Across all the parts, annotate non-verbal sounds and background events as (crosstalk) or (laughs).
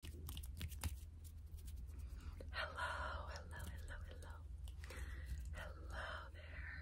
Hello, hello, hello, hello. Hello there.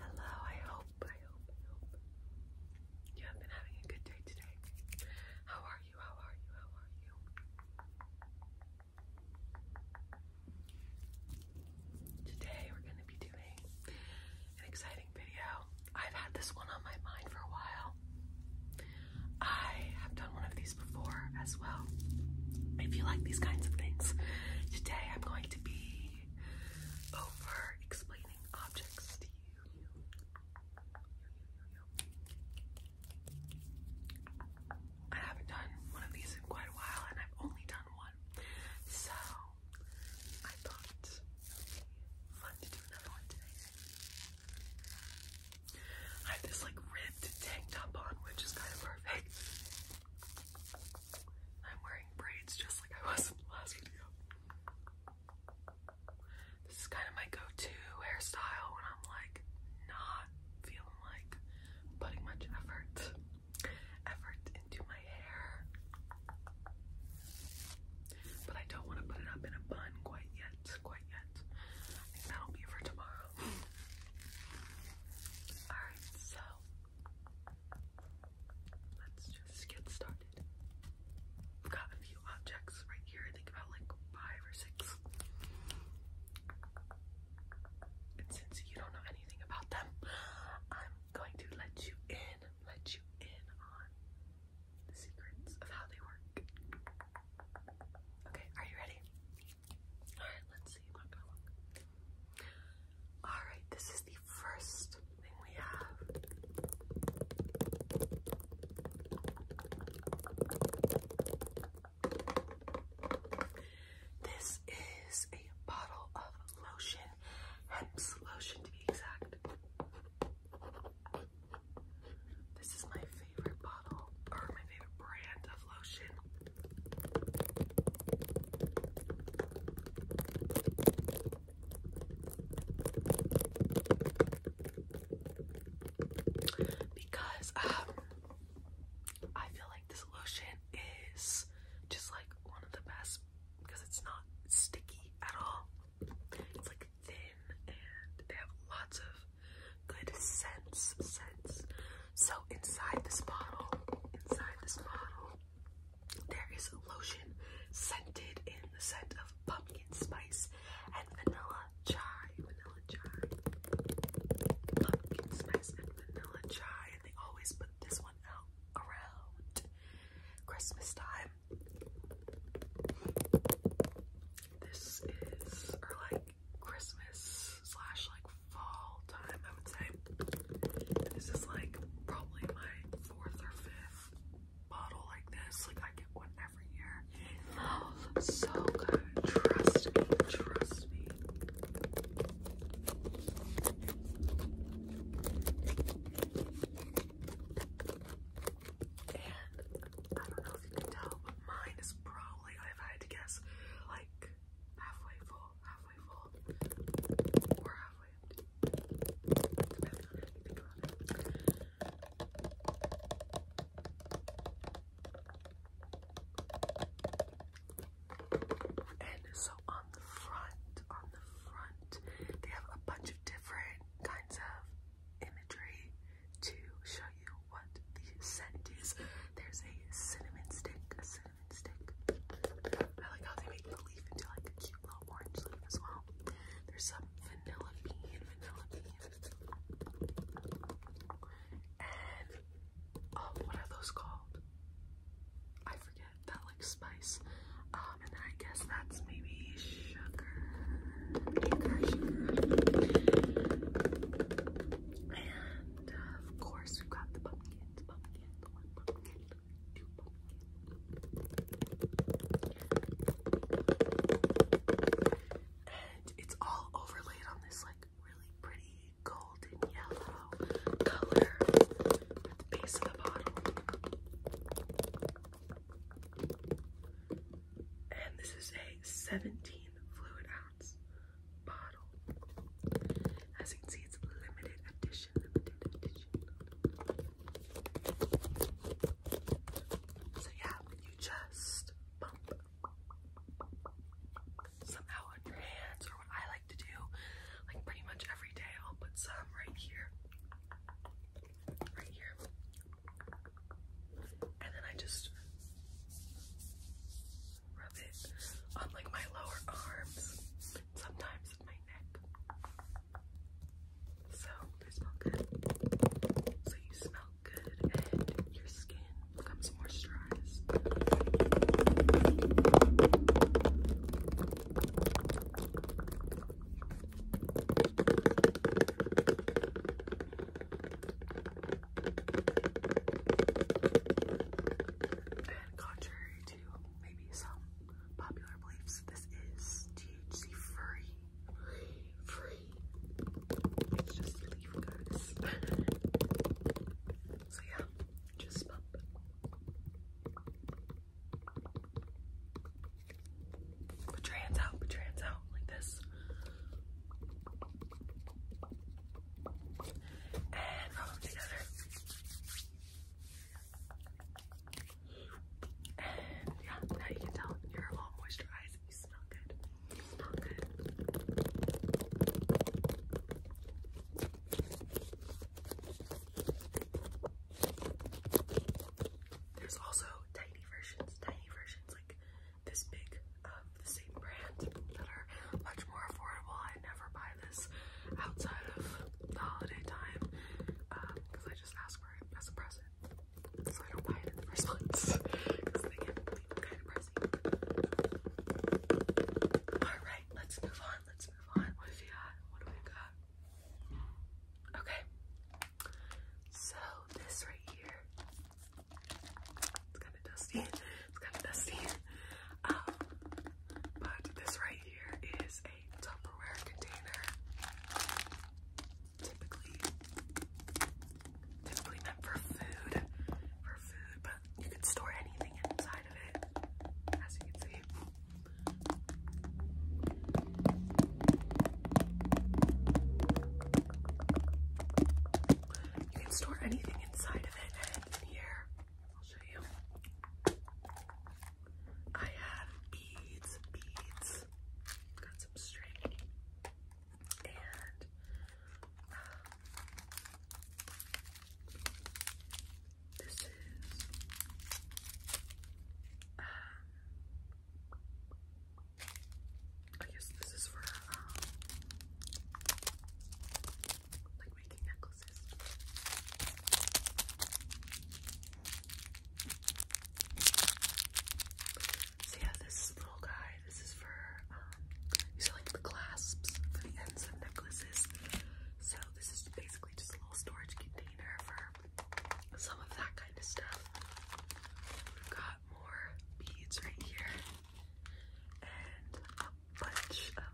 Hello, I hope, I hope, I hope you have been having a good day today. How are you? How are you? How are you? Today we're going to be doing an exciting video. I've had this one on my mind for a while. I have done one of these before as well. If you like these kinds of things, today I'm going to be over explaining objects to you. I haven't done one of these in quite a while, and I've only done one. So I thought fun to do another one today. I have this like ribbed tank top on, which is kind of perfect. I'm wearing braids just like I was in the last video. This is kind of my go-to hairstyle when I'm like not feeling like putting much effort effort into my hair. But I don't want to put it up in a bun quite yet. Quite yet. I think that'll be for tomorrow. (laughs) Alright, so let's just get started. We've got a few objects right here. think about like five or six. And since you don't know anything about them, I'm going to let you in, let you in on of how they work. Okay, are you ready? Alright, let's see. Alright, this is the first thing we have. This is a bottle of lotion, Hemp's lotion to be exact. This is my favorite bottle or my favorite brand of lotion. Because um I feel like this lotion is just like one of the best because it's not sticky at all. It's like thin and they have lots of good scents, scents. So inside this bottle, inside this bottle, there is lotion scented in the scent of pumpkin spice and vanilla chai, vanilla chai, pumpkin spice and vanilla chai. And they always put this one out around Christmas time this is or like Christmas slash like fall time, I would say. This is like probably my fourth or fifth bottle like this. Like I get one every year. It smells (gasps) so good. Trust me, trust me. And I don't know if you can tell, but mine is probably, I've to guess, like halfway full, halfway full, or halfway And so on the front, on the front, they have a bunch of different kinds of imagery to show you what the scent is. There's a cinnamon stick, a cinnamon stick. I like how they make the leaf into like a cute little orange leaf as well. There's some vanilla bean, vanilla bean. And oh, what are those called? I forget forget that like spice. Um, and then I guess that's maybe sugar, sugar, And uh, of course we got the pumpkins, pumpkins, one pumpkin, two pumpkins. And it's all overlaid on this like really pretty golden yellow color at the base of the bottle. And this is a 17 fluid ounce bottle. As you can see, it's limited edition, limited edition. So yeah, you just pump somehow on your hands, or what I like to do, like pretty much every day, I'll put some right here right here. And then I just rub it on like my lower arms, sometimes my neck. So they smell good. So you smell good and your skin becomes moisturized. And contrary to maybe some popular beliefs, this is THC free. Free. let just leave, guys. (laughs) so yeah, just pump. Put your hands out, put your hands out like this. And yeah, you can tell you're all moisturized. You smell good. You smell good. There's also tiny versions, tiny versions like this big of the same brand that are much more affordable. I never buy this outside of the holiday time because um, I just ask for it as a present. So I don't buy it in the (laughs) Alright, let's move on. Let's move on. What do we got? What do we got? Okay. So this right here, it's kind of dusty. It's kind of dusty. Um, but this right here is a Tupperware container. Typically, typically meant for food, for food, but you can store anything inside of it, as you can see. You can store anything inside of it. in here, I'll show you. I have beads, beads. Got some string and um, this is um I guess this is for um, like making necklaces. So yeah, this little guy, this is for um these are like the clasps for the ends of necklaces. So this is basically just a little storage container for some of that kind of stuff. We've got more beads right here and a bunch of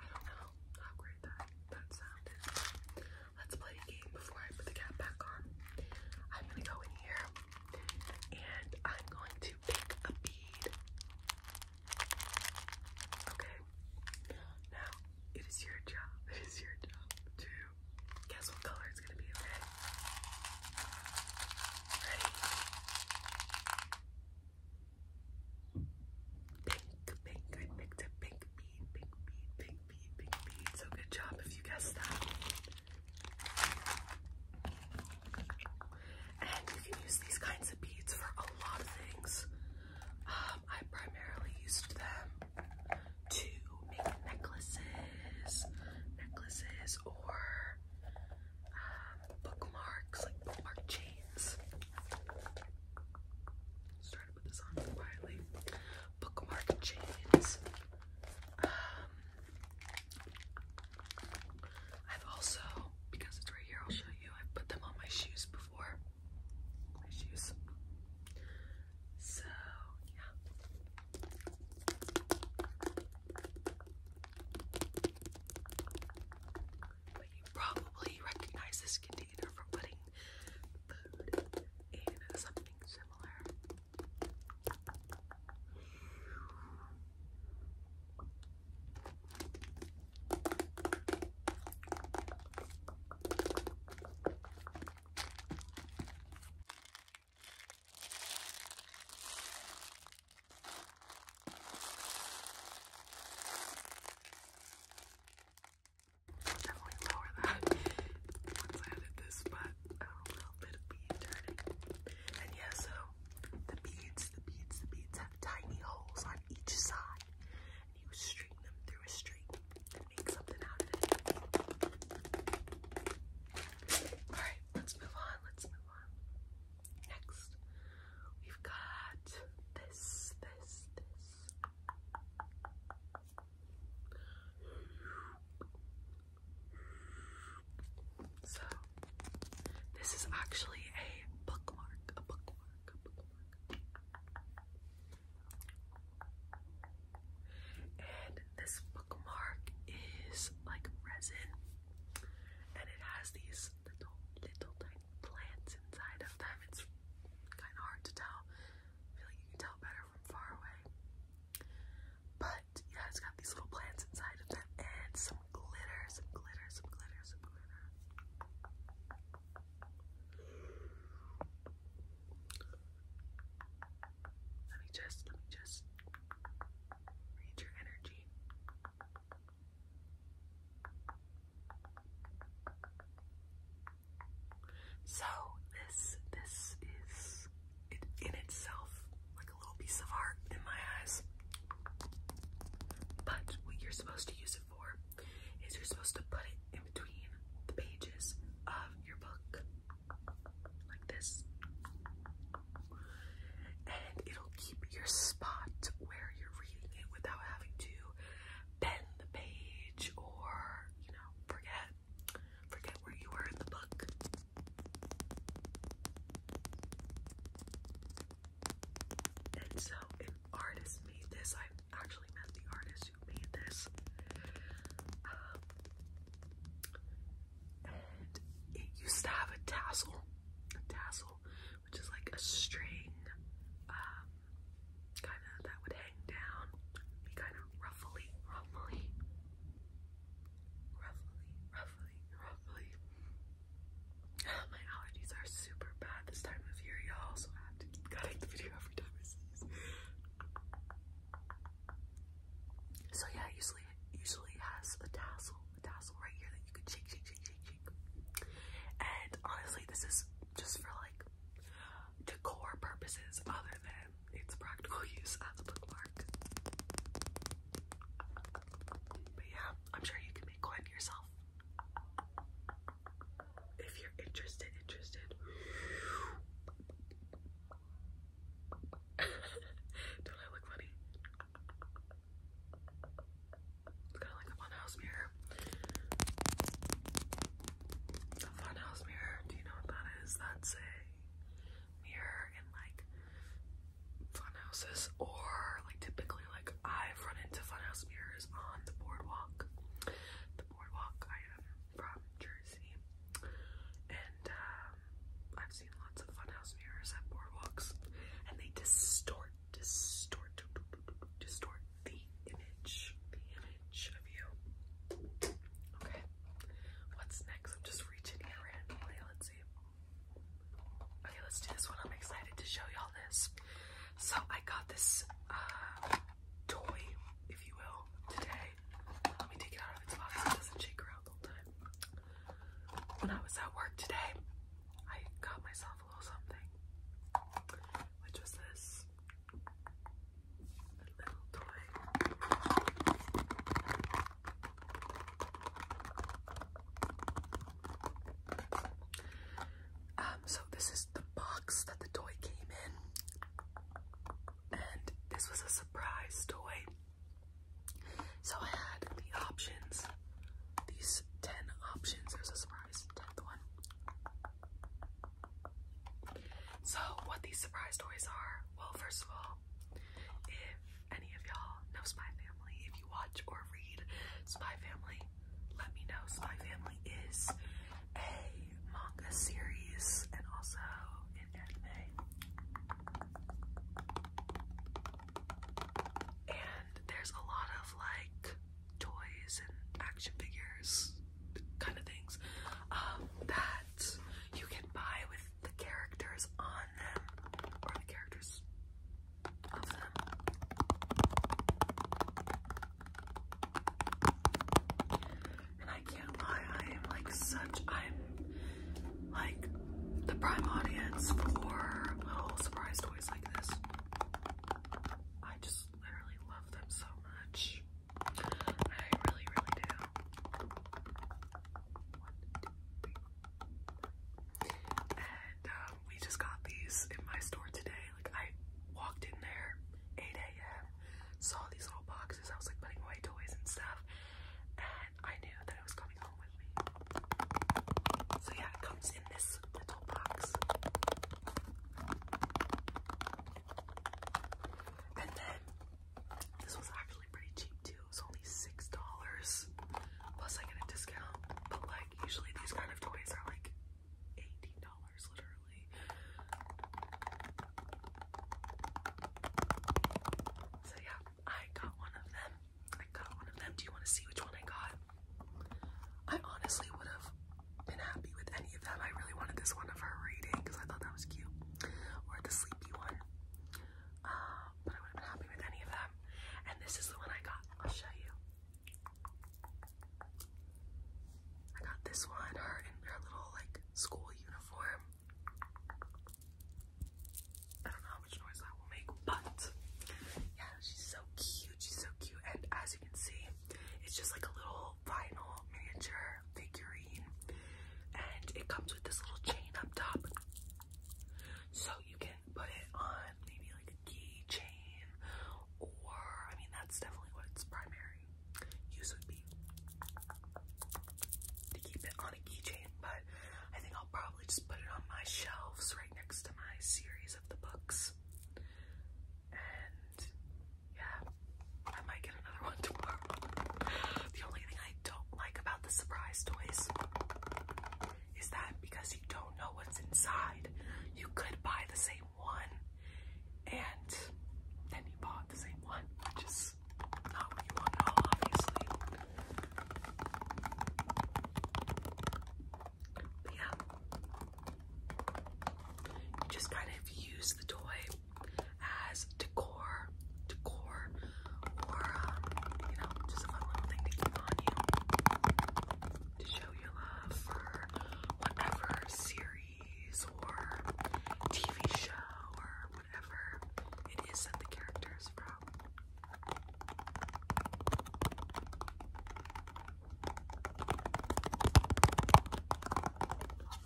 I don't know how great that that sound is. Let's play a game before I put the cap back on. I'm gonna go in here and I'm going to pick a bead. Okay, now it is your job, (laughs) it is your job to guess what color it's going to be, okay? Ready? Pink, pink, I picked a pink bead, pink bead, pink bead, pink bead. So good job if you guessed that. And you can use these kinds of beads for a lot of things. Um, I primarily used them to make necklaces, necklaces or um, bookmarks, like bookmark chains. Started to put this on quietly. Bookmark chains. Um, I've also, because it's right here, I'll show you. I've put them on my shoes before. My shoes. So, yeah. But you probably recognize this container from putting food in something similar. I'll definitely lower that once I edit this, but and yeah, so the beads, the beads, the beads have tiny holes on each side. And you string them through a string and make something out of it. Alright, let's move on. Let's move on. Next, we've got this, this, this. So this is actually a bookmark, a bookmark, a bookmark. And this bookmark is like resin and it has these little little tiny plants inside of them. It's kinda hard to tell. feel like you can tell better from far away. But yeah, it's got these little plants inside of them and some glitter, some glitter, some glitter, Let me just, let me just read your energy. So this this is it in itself, like a little piece of art in my eyes. But what you're supposed to use it for is you're supposed to put it in between the pages of your book, like this. And it'll keep your spot where you're reading it without having to bend the page or, you know, forget forget where you were in the book. And so an artist made this. I actually met the artist who made this. Um, and it used to have a tassel, a tassel, which is like a string, um, kind of that would hang down, be kind of ruffly, rumbly, roughly, roughly, roughly. (sighs) My allergies are super bad this time of year, y'all, have to keep cutting the video every time I sneeze. So yeah, usually usually has a tassel, a tassel right here that you can shake, shake, shake, shake, shake. And honestly, this is just for like decor purposes, other than its practical (laughs) use as a bookmark. But yeah, I'm sure you can make one yourself. If you're interested, interested. (laughs) do I look funny? It's kind of like a funhouse mirror. The funhouse mirror, do you know what that is? That's a mirror in like fun houses or like typically like I've run into funhouse mirrors on the boardwalk. The boardwalk I am from Jersey and um, I've seen lots of funhouse mirrors at boardwalks and they distort distort distort the image the image of you. Okay. What's next? I'm just reaching in randomly. Let's see. Okay, let's do this one. I'm excited to show y'all this. So I got this uh, toy, if you will, today. Let me take it out of its box it doesn't shake around the whole time. When I was at work today, I got myself a little something, which was this. Um, so this is the box that the toy came in, and this was a surprise toy. So I had the options, these 10 options, there's a surprise 10th one. So what these surprise toys are, well first of all, if any of y'all know Spy Family, if you watch or read Spy Family, let me know. Spy Family is a manga series and also an anime. And there's a lot of like toys and action figures kind of things um, that you can buy with the characters on them or the characters of them. And I can't lie, I am like such, I'm like the prime audience for little surprise toys like this. I just literally love them so much. I really, really do and um, we just got these in my store today. Like I walked in there 8 a.m. saw these little boxes. I was like putting away toys and stuff, and I knew that it was coming home with me. So yeah, it comes in this little box. And then this was actually pretty cheap too. It was only six dollars. Plus I get a discount. But like usually these kind of toys are like eighteen dollars literally. So yeah, I got one of them. I got one of them. Do you want to see which one I got? I honestly would have been happy with any of them. I really wanted this one of her reading because I thought that was cute. Or the sleepy one but I would have happy with any of them. And this is the one I got. I'll show you. I got this one, her in her little like school uniform. I don't know how much noise that will make, but yeah, she's so cute. She's so cute. And as you can see, it's just like a little vinyl miniature figurine, and it comes with this little chain up top, so you can put it on maybe like a keychain, or I mean that's definitely what its primary use would be to keep it on a keychain. But I think I'll probably just put it on my shelves right next to my series of the books, and yeah, I might get the only thing I don't like about the surprise toys is that because you don't know what's inside, you could buy the same one and then you bought the same one, which is not what you want obviously. But yeah, just kind of use the toy as decor, decor, or um, you know, just a fun little thing to keep on you to show your love for whatever series or TV show or whatever it is that the characters from.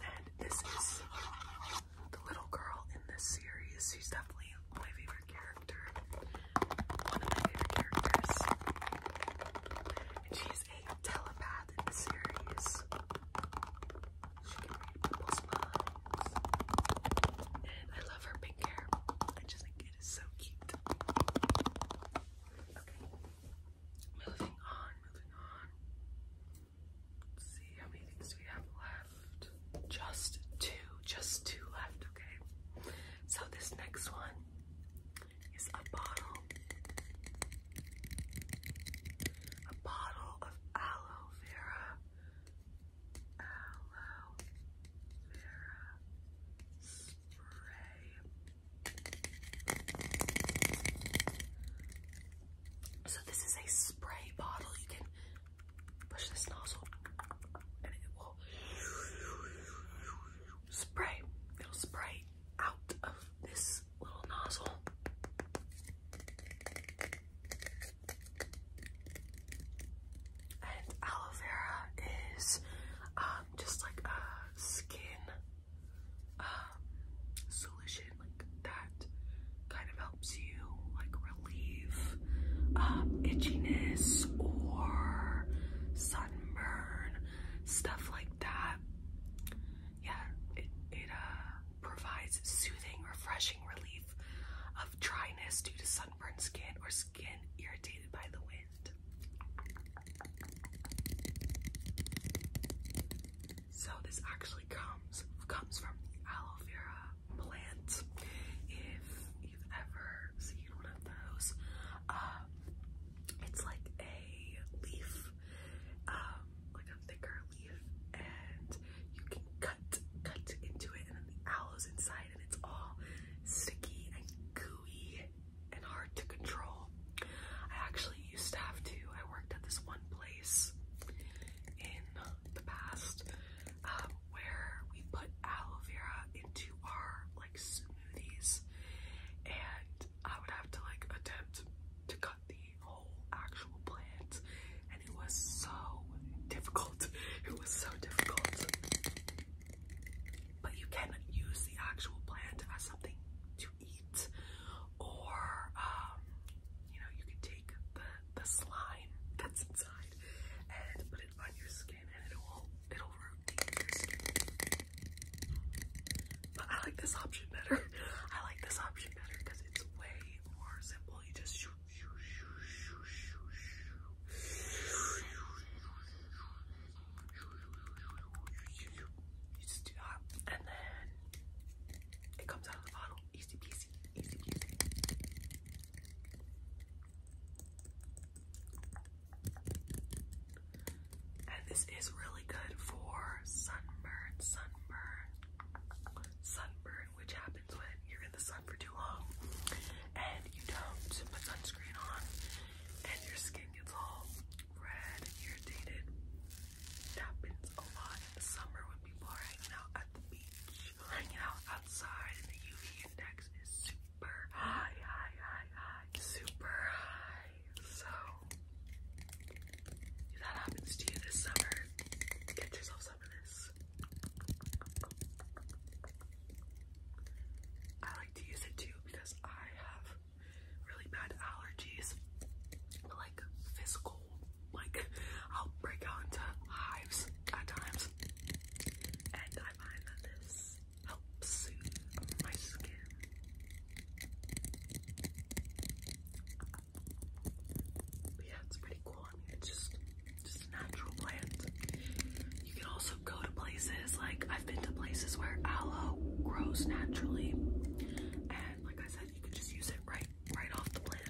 And this is the little girl in this series. She's definitely my favorite character. One of my favorite characters. And she's a telepath in the series. She can read people's minds. And I love her pink hair. I just think it is so cute. Okay. Moving on, moving on. Let's see how many things do we have left? Just two, just two left, okay? So this next one is a bottle. A bottle of aloe vera. Aloe vera spray. So this is a spray bottle. You can push this nozzle and it will spray. It'll spray out of this little nozzle. And aloe vera is um, just like a skin uh, solution like that kind of helps you like relieve um, itchiness or sunburn, stuff like that. Yeah, it, it uh, provides soothing, refreshing relief of dryness due to sunburned skin or skin irritated by the wind. So this actually comes comes from the aloe vera plant. If you've ever seen one of those, um, it's like a leaf, um, like a thicker leaf, and you can cut cut into it, and then the aloe's inside, and it's all sticky and gooey and hard to control. I actually used to have to. I worked at this one place in the past um, where we put aloe vera into our like smoothies and I would have to like attempt to cut the whole actual plant and it was so difficult. (laughs) It was so difficult. But you can use the actual plant as something to eat or um, you know you could the slime that's inside and put it on your skin, and it'll it your skin. I like this option better. I like this option better because it's way more simple. You just shoot, and then it comes out of the bottle easy peasy, easy peasy. And this is really good for sunburn, sunburn, sunburn, which happens when you're in the sun for too long and you don't put sunscreen on and your skin gets all red and irritated. It happens a lot in the summer when people are hanging out at the beach, hanging out outside, and the UV index is super high, high, high, high, super high. So, if that happens to you this summer, get yourself some of this. I like to use it too because I have really bad allergies like physical, like I'll break out into hives at times. And I find that this helps soothe my skin. yeah, it's pretty cool. it's just just a natural plant. You can also go to places like I've been to places where aloe grows naturally, and like I said, you can just use it right right off the plant.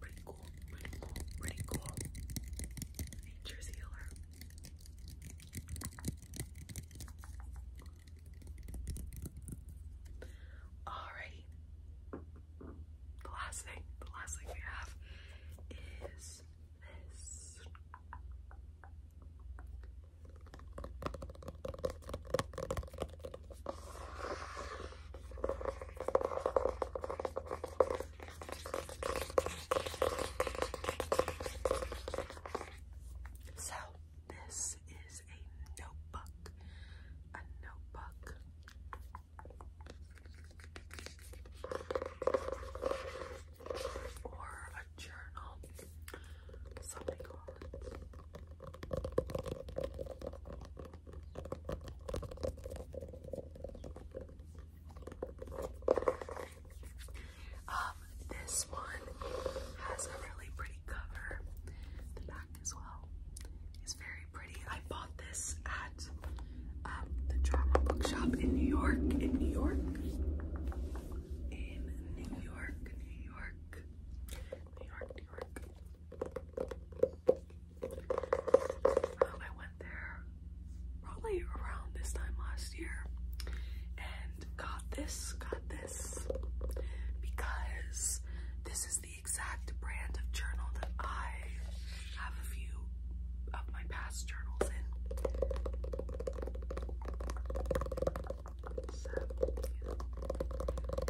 Pretty cool, pretty cool, pretty cool. Nature's healer. Alrighty. The last thing, the last thing we have is this. So, this is a notebook. A notebook. Or a journal. Something um, this one has a really pretty cover. The back as well is very pretty. I bought this at um, the drama bookshop in New York. In New York. In New York, New York, New York, New York. Um, I went there probably around this time last year and got this, got this because this is the exact brand of journal that I have a few of my past journals in. So,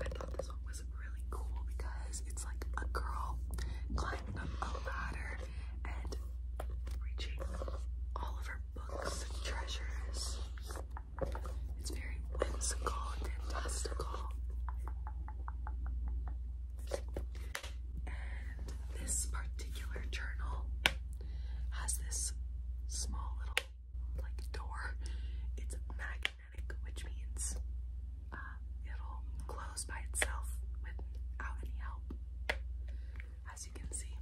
I thought this one was was really cool because it's like a girl climbing up a ladder and reaching all of her books and treasures. It's very whimsical and fantastical. And this particular journal has this small little like door. It's magnetic which means uh, it'll close by itself without any help, as you can see.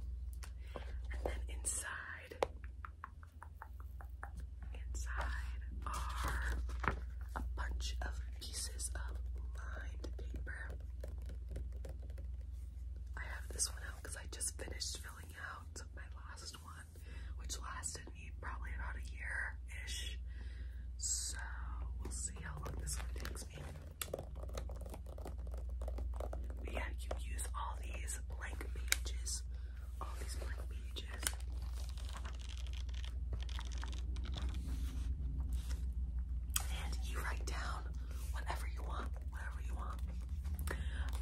And then inside, inside are a bunch of pieces of lined paper. I have this one out because I just finished filling out my last one which lasted me probably about a year ish. So we'll see how long this one takes me. But yeah, you use all these blank pages. All these blank pages. And you write down whatever you want, whatever you want.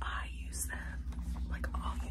I use them, like all